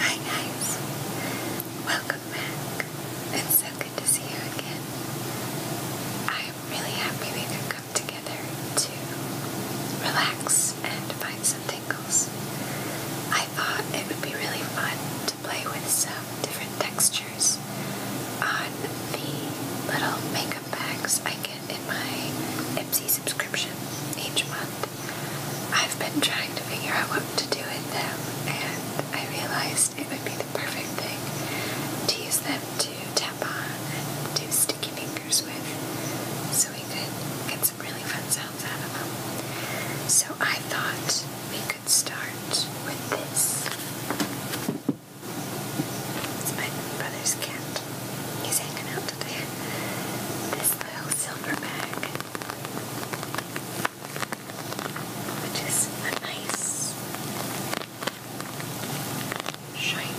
Hi guys, welcome back. It's so good to see you again. I'm really happy we could come together to relax and find some tingles. I thought it would be really fun to play with some different textures on the little makeup bags I get in my Ipsy subscription each month. I've been trying to figure out what to do with them, and I realized it would be the perfect thing to use them to tap on and do sticky fingers with, so we could get some really fun sounds out of them. So I thought we could start with this. my brother's cat. He's out today. This little silver bag which is a nice shiny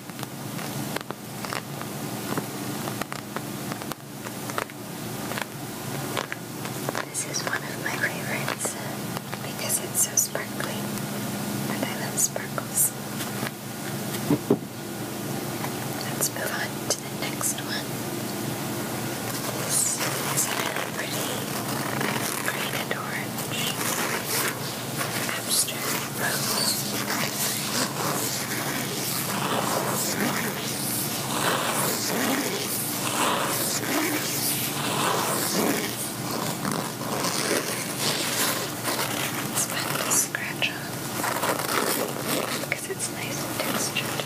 This is one of my favorites uh, because it's so sparkly, and I love sparkles. Let's move on to the next one. This is a really pretty green and abstract rose. It's fun to scratch on because it's nice and textured.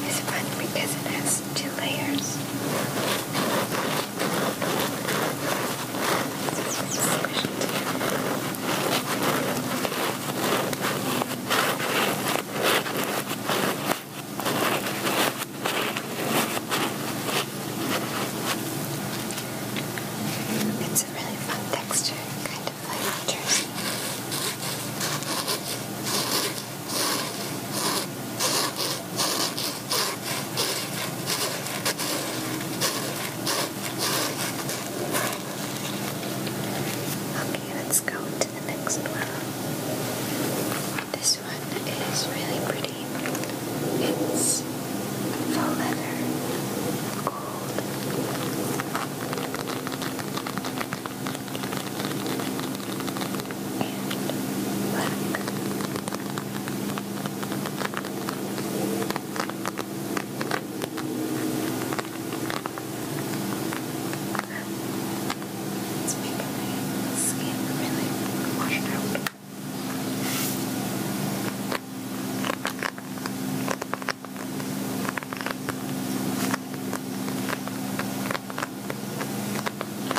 It's fun because it has two layers. It's a really fun texture, kind of like jersey. Okay, let's go to the next one. This one is really pretty. It's faux leather, gold and black. It's making my skin really washed out.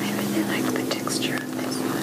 I really like the texture of this one.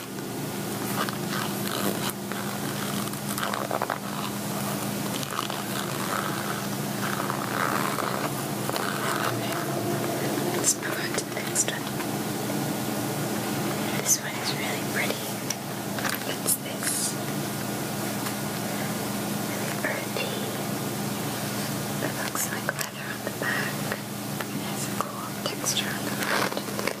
Okay. Let's move on to the next one. This one is really pretty. It's this really earthy. It looks like leather on the back. It has a cool texture on the front.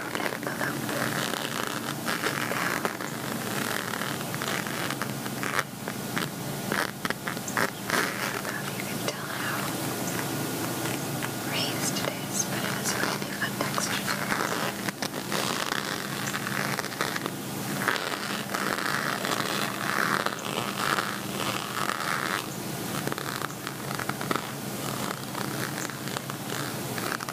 down and below. Down. You can tell how raised it is, but it has a really fun texture. Now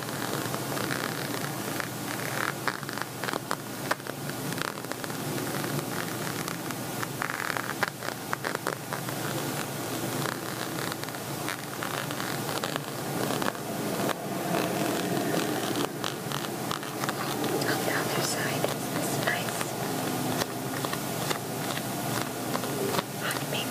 On the other side, it's this nice hot pink.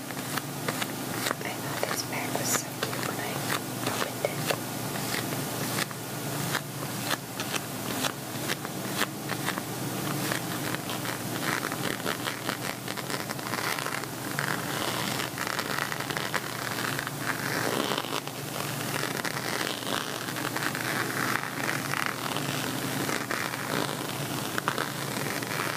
I thought this bag was so cute when I opened it. I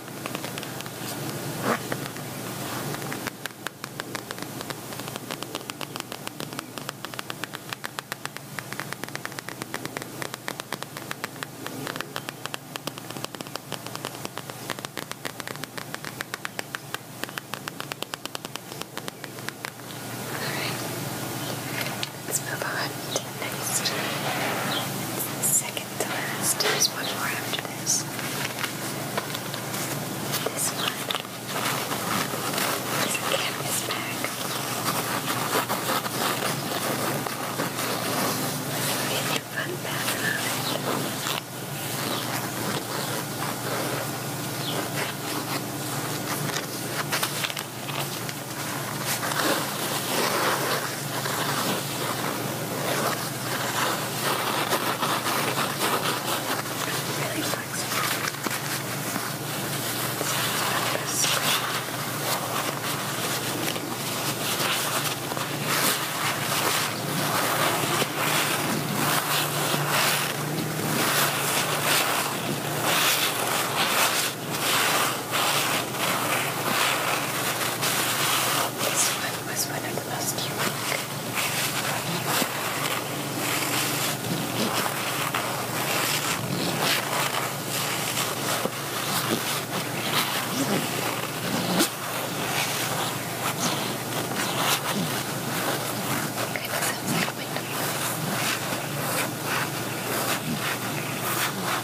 Alright, let's move on to next. Second second to last. There's one more after this. This one is canvas bag. Get your fun pattern on Really flexible. This one was one of the most unique. Okay, that sounds like my dream.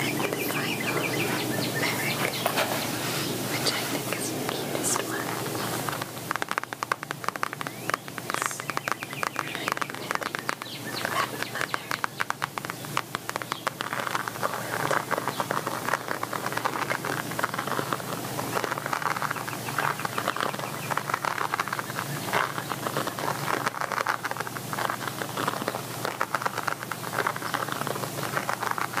and the final lyric, which I think is the cutest one.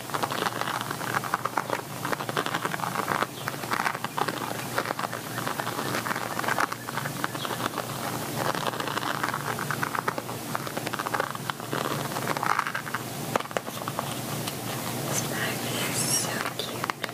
This bag is so cute. It's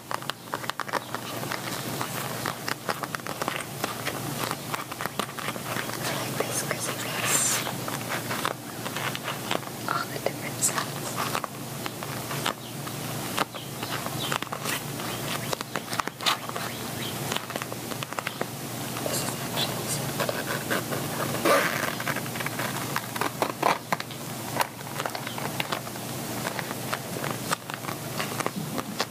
I like this because it has all the different sounds. This is actually simple.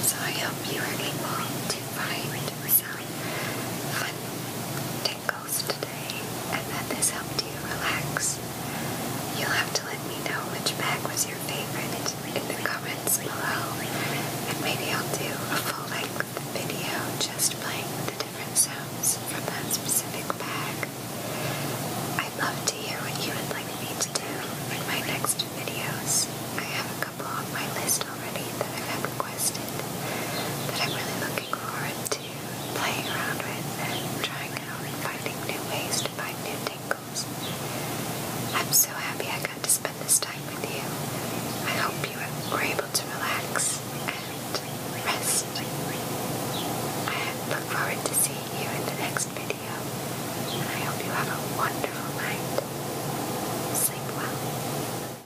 So I hope you are able to find some fun tickles today and that this helped you relax. You'll have to let me know which bag was your favorite in the comments below. And maybe I'll do a full-length video just playing the different sounds from that specific bag. I'd love to hear what you would like me to do in my next videos. I have a couple on my list already that I've requested that I'm really looking forward to playing around with and trying out finding new ways to find new tingles. I'm so happy I got to spend this time with you. I hope you were able to relax and rest. I look forward to seeing you in the next video, and I hope you have a wonderful night. Sleep well.